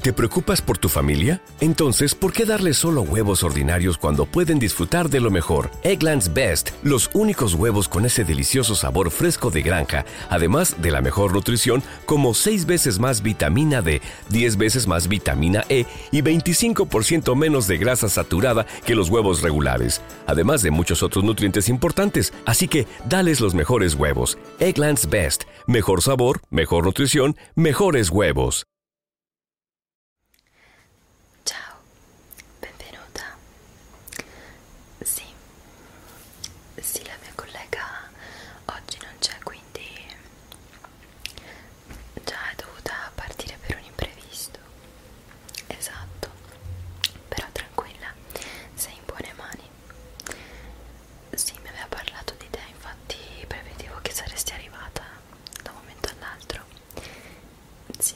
¿Te preocupas por tu familia? Entonces, ¿por qué darle solo huevos ordinarios cuando pueden disfrutar de lo mejor? Eggland's Best, los únicos huevos con ese delicioso sabor fresco de granja, además de la mejor nutrición, como 6 veces más vitamina D, 10 veces más vitamina E y 25% menos de grasa saturada que los huevos regulares, además de muchos otros nutrientes importantes. Así que, dales los mejores huevos. Eggland's Best, mejor sabor, mejor nutrición mejores huevos. Ciao, benvenuta. Sì, sì, la mia collega oggi non c'è, quindi già è dovuta partire per un imprevisto. Esatto, però tranquilla, sei in buone mani. Sì, mi aveva parlato di te, infatti prevedevo che saresti arrivata da un momento all'altro. Sì,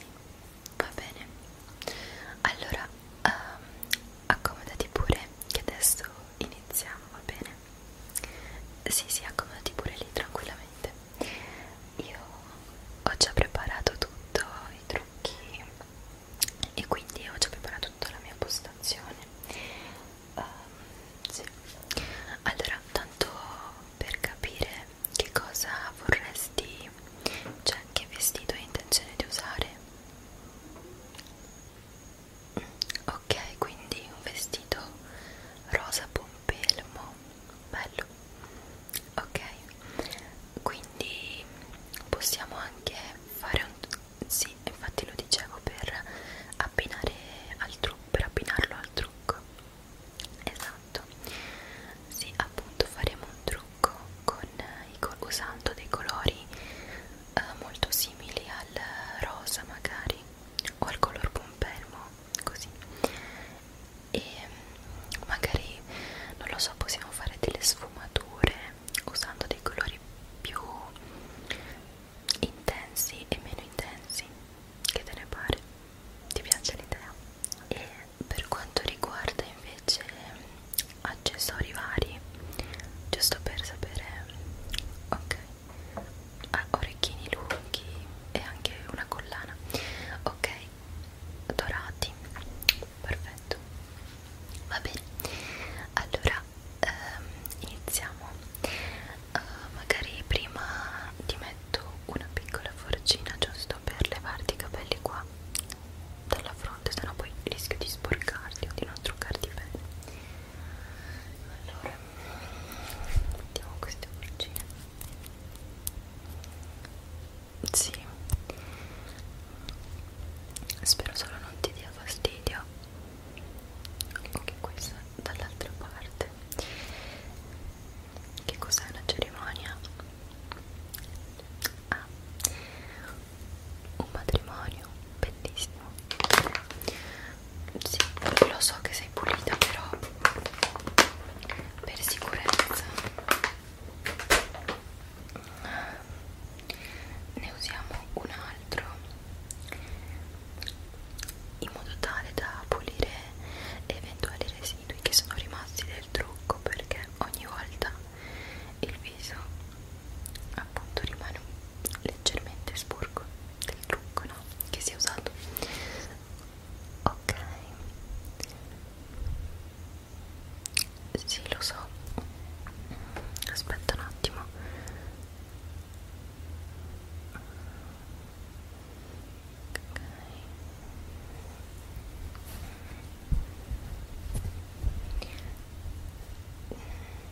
va bene. Allora, um, accomodati pure, che adesso iniziamo, va bene? Sì, sì, accomodati pure lì tranquillamente. Io ho già preparato tutto, i trucchi e quindi ho già preparato tutta la mia postazione um, sì. allora tanto per capire che cosa vorresti cioè che vestito hai intenzione di usare mm, ok quindi un vestito rosa pompelmo bello ok quindi possiamo anche fare un sì, infatti lo dicevo per abbinare al trucco, per abbinarlo al trucco. Esatto. Sì, appunto faremo un trucco con i usando dei colori eh, molto simili al rosa magari o al color pompelmo, così. E magari non lo so, possiamo fare delle sfumature usando dei colori più intensi e meno intensi che te ne pare ti piace l'idea e per quanto riguarda invece mm, accessori vari giusto per sapere ok ah, orecchini lunghi e anche una collana ok dorati perfetto va bene allora ehm, iniziamo uh, magari prima ti metto una piccola forcina giusto per levarti i capelli qua dalla fronte sennò poi rischio di sporcarti o di non truccarti bene allora mettiamo queste forcine sì spero solo non ti dia fastidio anche questa dall'altra parte che cos'è una cerimonia? ah un matrimonio bellissimo sì, lo so che sei pulita però per sicurezza ne usiamo un altro in modo tale da pulire eventuali residui che sono rimasti del trucco perché ogni volta il viso appunto rimane leggermente sporco del trucco no? che si è usato ok sì lo so aspetta un attimo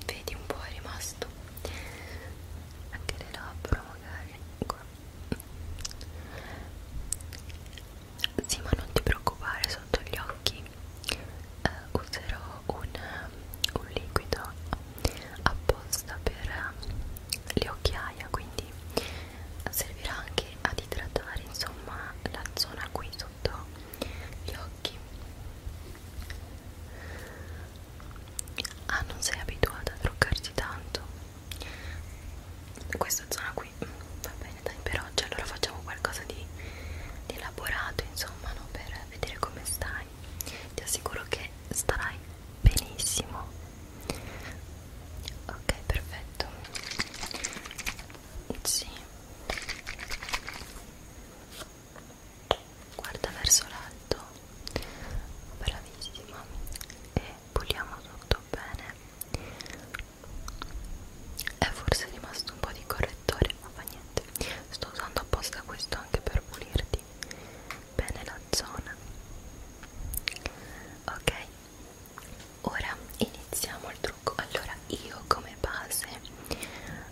Vedi un po' è rimasto anche le labbra magari qua. Sì ma non ti preoccupare sotto gli occhi eh, userò un, un liquido apposta per le occhiaia quindi servirà anche ad idratare insomma la zona qui sotto gli occhi ah non sei abituata a truccarti tanto questa zona qui mm, va bene dai per oggi cioè, allora facciamo qualcosa di, di elaborato insomma no? per vedere come stai fare ti assicuro che starai benissimo ok perfetto sì guarda verso l'alto bravissima e puliamo tutto bene è forse rimasto un po' di correttore ma fa niente sto usando apposta questo anche per pulirti bene la zona ok ora iniziamo il trucco allora io come base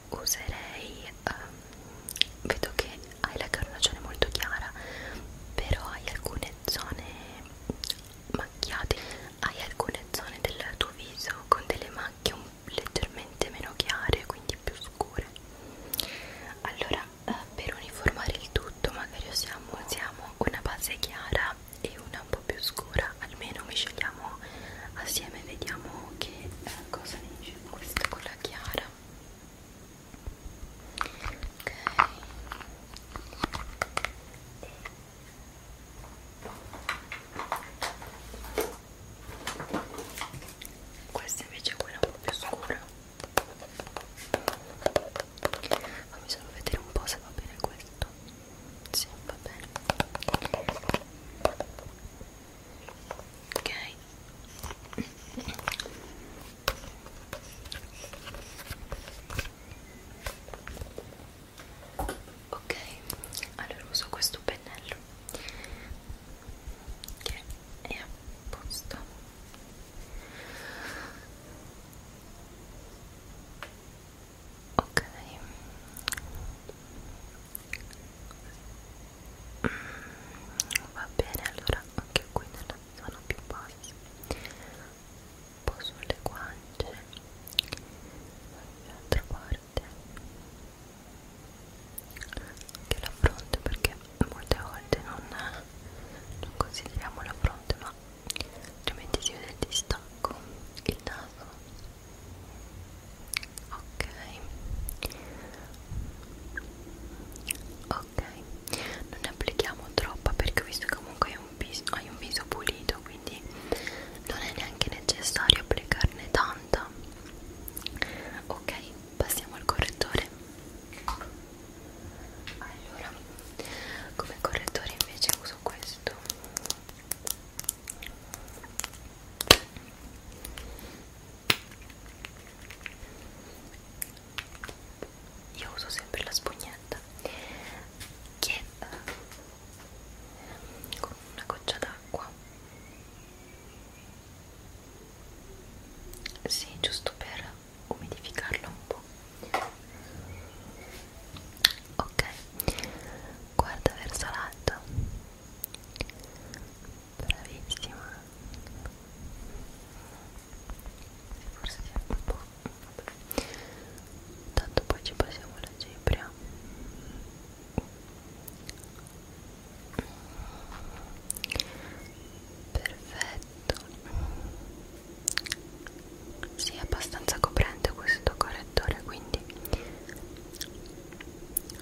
userei um, vedo che hai la carnagione molto chiara però hai alcune zone macchiate hai alcune zone del tuo viso con delle macchie un leggermente meno chiare quindi più scure allora eh, per uniformare il tutto magari usiamo, usiamo una base chiara e una un po' più scura almeno misceliamo assieme vediamo che eh, cosa dice questa con la chiara ok e questa invece è quella un po' più scura fammi solo vedere un po' se va bene questo sì, va bene ok ok allora uso questo pennello che è a posto ok mm, va bene allora anche qui nella zona più bassa un po' sulle guance dall'altra parte anche la fronte perché molte volte non, non consideriamo la fronte ma altrimenti si vede il distacco il naso ok ok non ne applichiamo troppa perché ho visto che comunque hai un viso, hai un viso pulito quindi non è neanche necessario applicarne tanta ok passiamo al correttore allora come correttore invece uso questo io uso sempre la spugnetta che eh, con una goccia d'acqua sì, giusto per umidificarlo un po' ok guarda verso l'alto bravissima forse un po' tanto poi ci passiamo la cipria perfetto si sì, è abbastanza coprente questo correttore quindi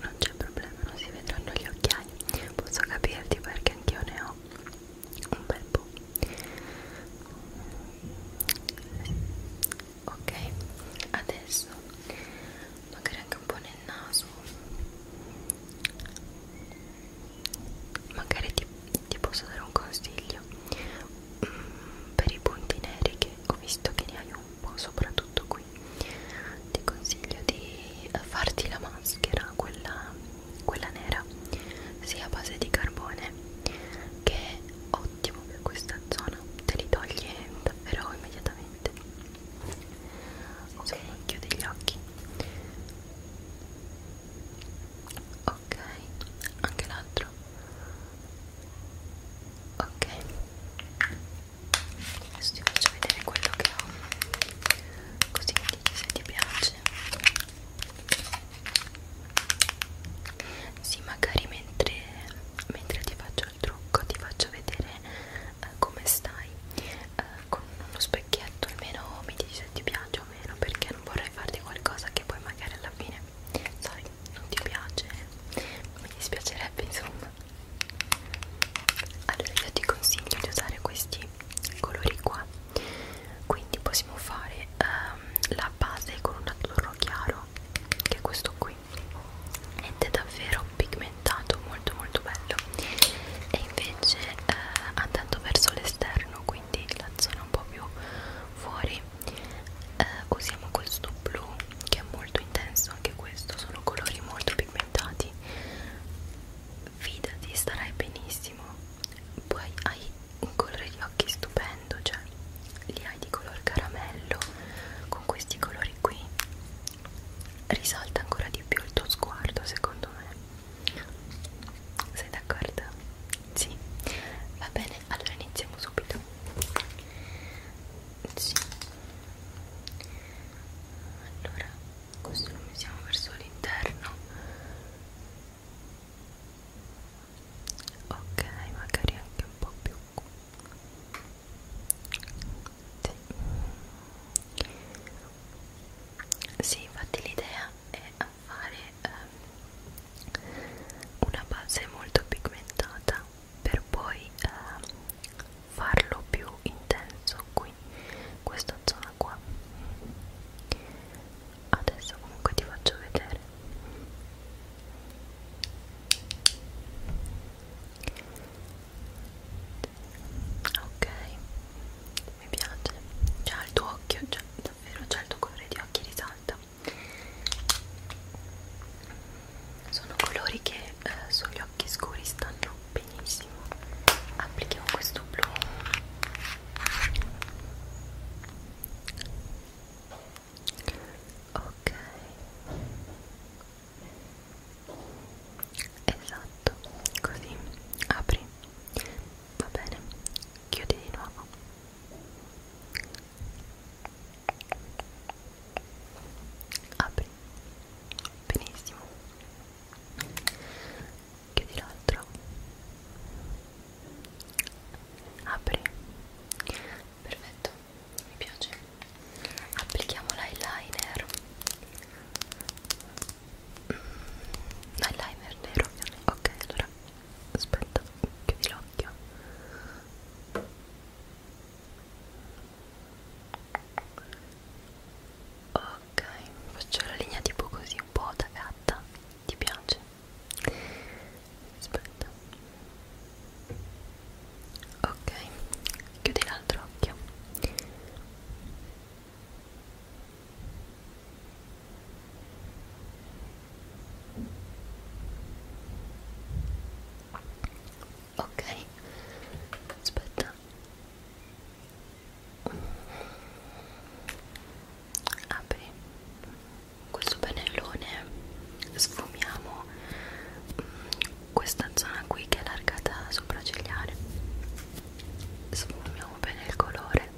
non c'è problema non si vedranno gli occhiali posso capirti perché anch'io ne ho un bel po' ok adesso magari anche un po' nero nel naso magari ti, ti posso dare un consiglio mm, per i punti neri che ho visto che ne hai un po' soprattutto qui ti consiglio di farti la maschera quella, quella nera sia a base di carbone che è ottimo per questa zona te li toglie davvero immediatamente ok chiudi gli occhi ok anche l'altro ok adesso ti faccio vedere quello che ho così mi dici se ti piace sì magari mentre, mentre ti faccio il trucco ti faccio vedere eh, come stai eh, con uno specchietto almeno mi dici se ti piace o meno perché non vorrei farti qualcosa che poi magari alla fine sai non ti piace mi dispiacerebbe insomma allora io ti consiglio di usare questi colori qua quindi possiamo fare um, la base con un azzurro chiaro che è questo qui ed è davvero un pigmentato molto molto bello e invece eh, andando verso l'esterno quindi la zona un po' più fuori eh, usiamo questo blu che è molto intenso anche questo sono colori molto pigmentati fidati starai benissimo poi hai un colore di occhi stupendo cioè li hai di color caramello con questi colori qui risalta ancora di più il tuo sguardo secondo me sei d'accordo? sì va bene allora iniziamo subito sì allora questo lo mettiamo verso l'interno ok magari anche un po' più sì, sì infatti l'idea è fare um, una base molto pigmentata per poi um, farlo più intenso qui, in questa zona qua. Adesso comunque ti faccio vedere ok mi piace c'ha il tuo occhio già, davvero c'ha il tuo colore di occhi risalta sono colori che eh, sugli occhi scuri stanno benissimo applichiamo questo blu ok esatto così apri va bene chiudi di nuovo apri benissimo chiudi l'altro apri perfetto mi piace applichiamo l'eyeliner un eyeliner nero ovviamente ok allora aspetta chiudi l'occhio ok faccio la linea tipo così un po' da gatta ti piace? aspetta ok chiudi l'altro occhio Ok, aspetta. Apri questo pennellone, sfumiamo mm, questa zona qui che è allargata sopra cigliare sfumiamo bene il colore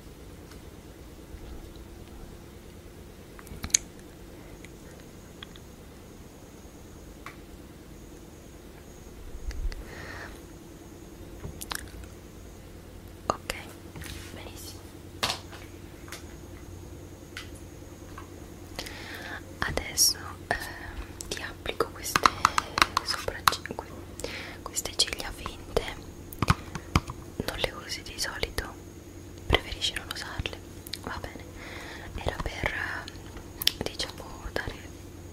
ok benissimo adesso eh, diamo applico queste sopracciglia queste ciglia finte non le usi di solito preferisci non usarle va bene era per diciamo dare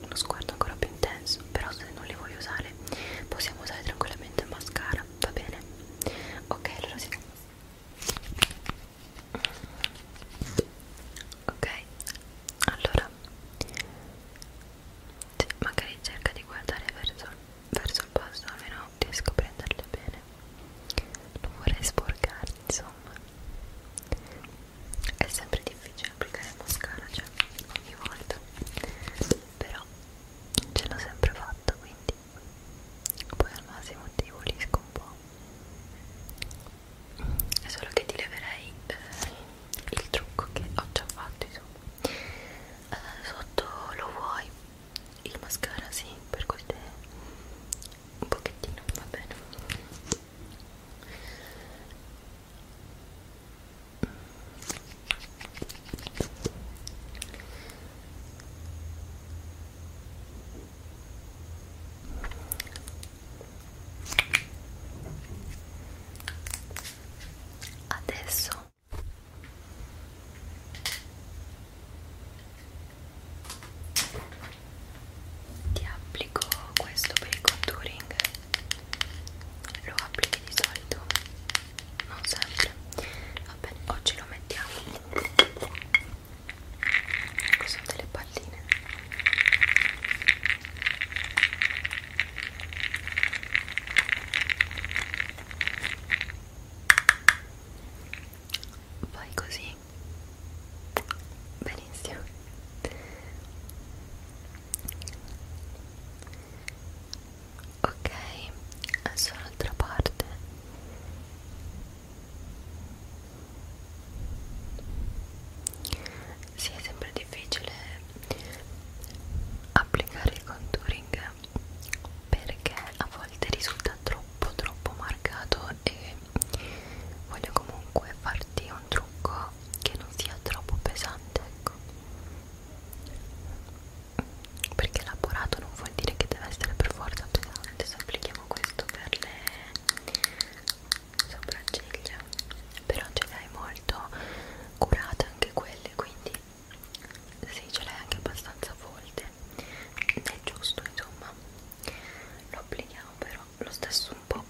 uno sguardo ancora più intenso però se non le vuoi usare possiamo usare tranquillamente il mascara va bene ok allora si ok allora magari cerca di guardare verso, verso il posto almeno riesco a prenderle bene non vorrei sporcarti insomma è sempre difficile applicare mascara cioè ogni volta però ce l'ho sempre fatta quindi poi al massimo ti volisco un po' è solo che ti leverei eh, il trucco che ho già fatto insomma eh, sotto lo vuoi il mascara sì per così un pochettino va bene adesso ti applico questo per il contouring lo applichi di solito non sempre va bene oggi lo mettiamo sono delle palline Fai così. Benissimo. Ok, adesso l'altra parte sì, è sempre difficile applicare il contouring perché a volte risulta troppo troppo marcato e voglio comunque farti un trucco che non sia troppo pesante ecco perché elaborato non vuol dire che deve essere per forza pesante se applichiamo questo per le sopracciglia però ce l'hai molto curata anche quelle quindi sì ce l'hai anche abbastanza volte è giusto insomma lo applichiamo però lo stesso un po'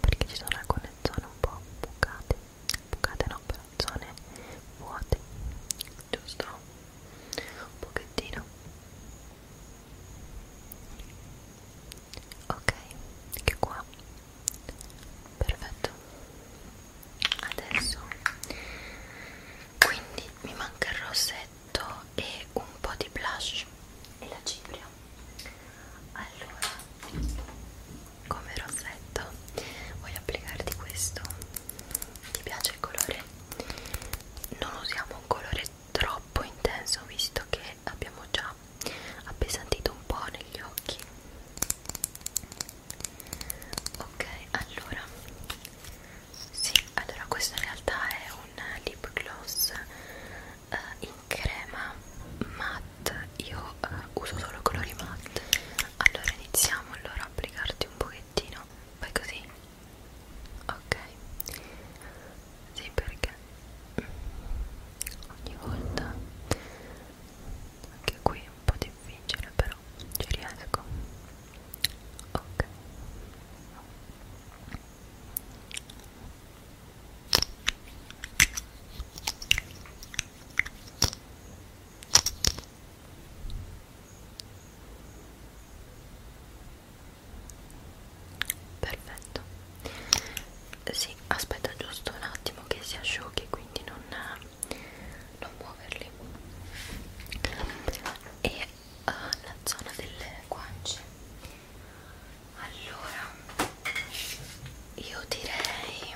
perché ci sono alcune zone un po' bucate bucate no però zone vuote giusto un pochettino ok anche qua perfetto adesso quindi mi manca il rossetto e un po' di blush e la cipria allora come rossetto voglio applicarti questo ti piace il colore? non usiamo un colore troppo intenso visto che abbiamo già appesantito un po' negli occhi ok allora sì allora questo in realtà è un lip gloss uh, in crema matte io uh, uso solo colori matte allora iniziamo allora a applicarti un pochettino fai così ok sì perché ogni volta anche qui è un po' difficile però ci riesco ok Perfetto, sì, aspetta giusto un attimo che si asciughi, quindi non, eh, non muoverli. E uh, la zona delle guance. Allora, io direi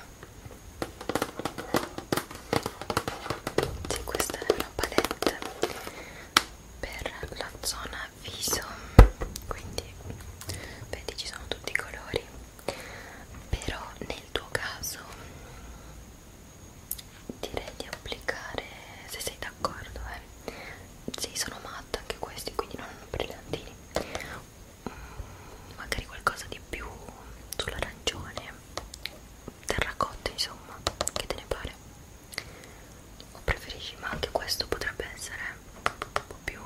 sì, questa è una palette per la zona viso, quindi vedi ci sono tutti i colori però nel tuo caso direi di applicare se sei d'accordo eh. sì sono matta anche questi quindi non hanno brillantini mm, magari qualcosa di più sull'arancione terracotta insomma che te ne pare o preferisci ma anche questo potrebbe essere un po' più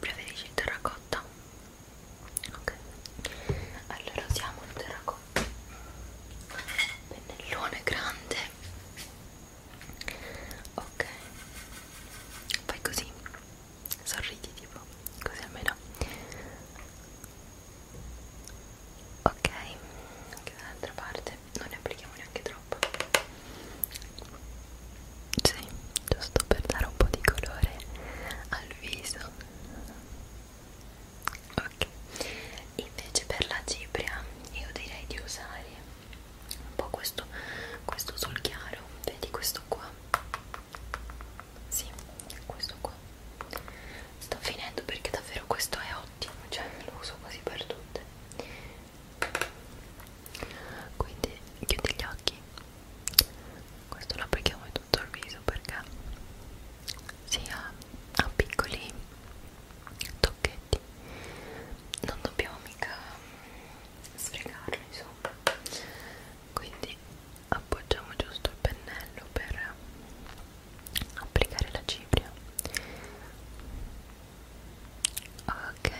preferisci il terracotta? ok allora usiamo il terracotta pennellone grande ok fai così sorridi tipo così almeno ok anche dall'altra parte non ne applichiamo neanche troppo sì, giusto per dare un po' di colore al viso. Ok, invece per la cipria io direi di usare un po' questo, questo sul chiaro, vedi questo qua. Sì, questo qua. Sto finendo perché davvero questo è ottimo, cioè lo uso quasi per tutte quindi chiudi gli occhi questo lo applichiamo in tutto il viso perché sia a piccoli tocchetti non dobbiamo mica sfregarli insomma quindi appoggiamo giusto il pennello per applicare la cipria ok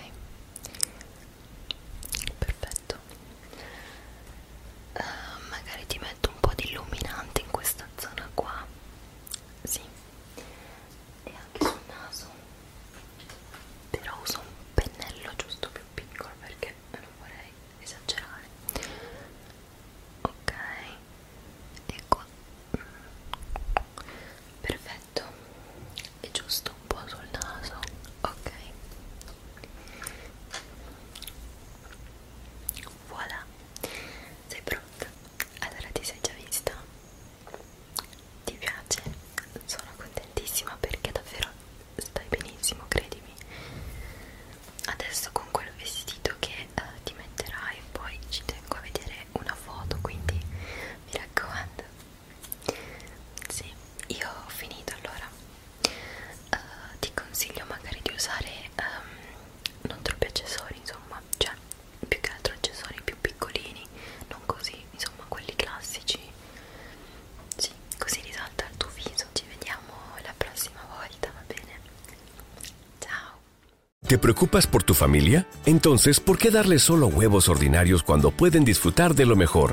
perfetto uh, magari ti metto un po' di illuminante in questa zona qua sì e anche sul naso però uso un pennello giusto più piccolo perché non vorrei esagerare ok e ecco. qua mm. perfetto perfetto e giusto un po' sul naso ok voilà sei pronta? allora ti sei già vista? ti piace? sono contentissima perché davvero stai benissimo credimi adesso con quel vestito che eh, ti metterai poi ci tengo a vedere una foto quindi mi raccomando sì, io ho finito allora. Uh, ti consiglio magari di usare um, non troppi accessori, insomma, cioè più che altro accessori più piccolini, non così, insomma, quelli classici. Sì, così risalta il tuo viso. Ci vediamo la próxima vuelta, va bene. Chao. ¿Te preocupas por tu familia? Entonces, ¿por qué darles solo huevos ordinarios cuando pueden disfrutar de lo mejor?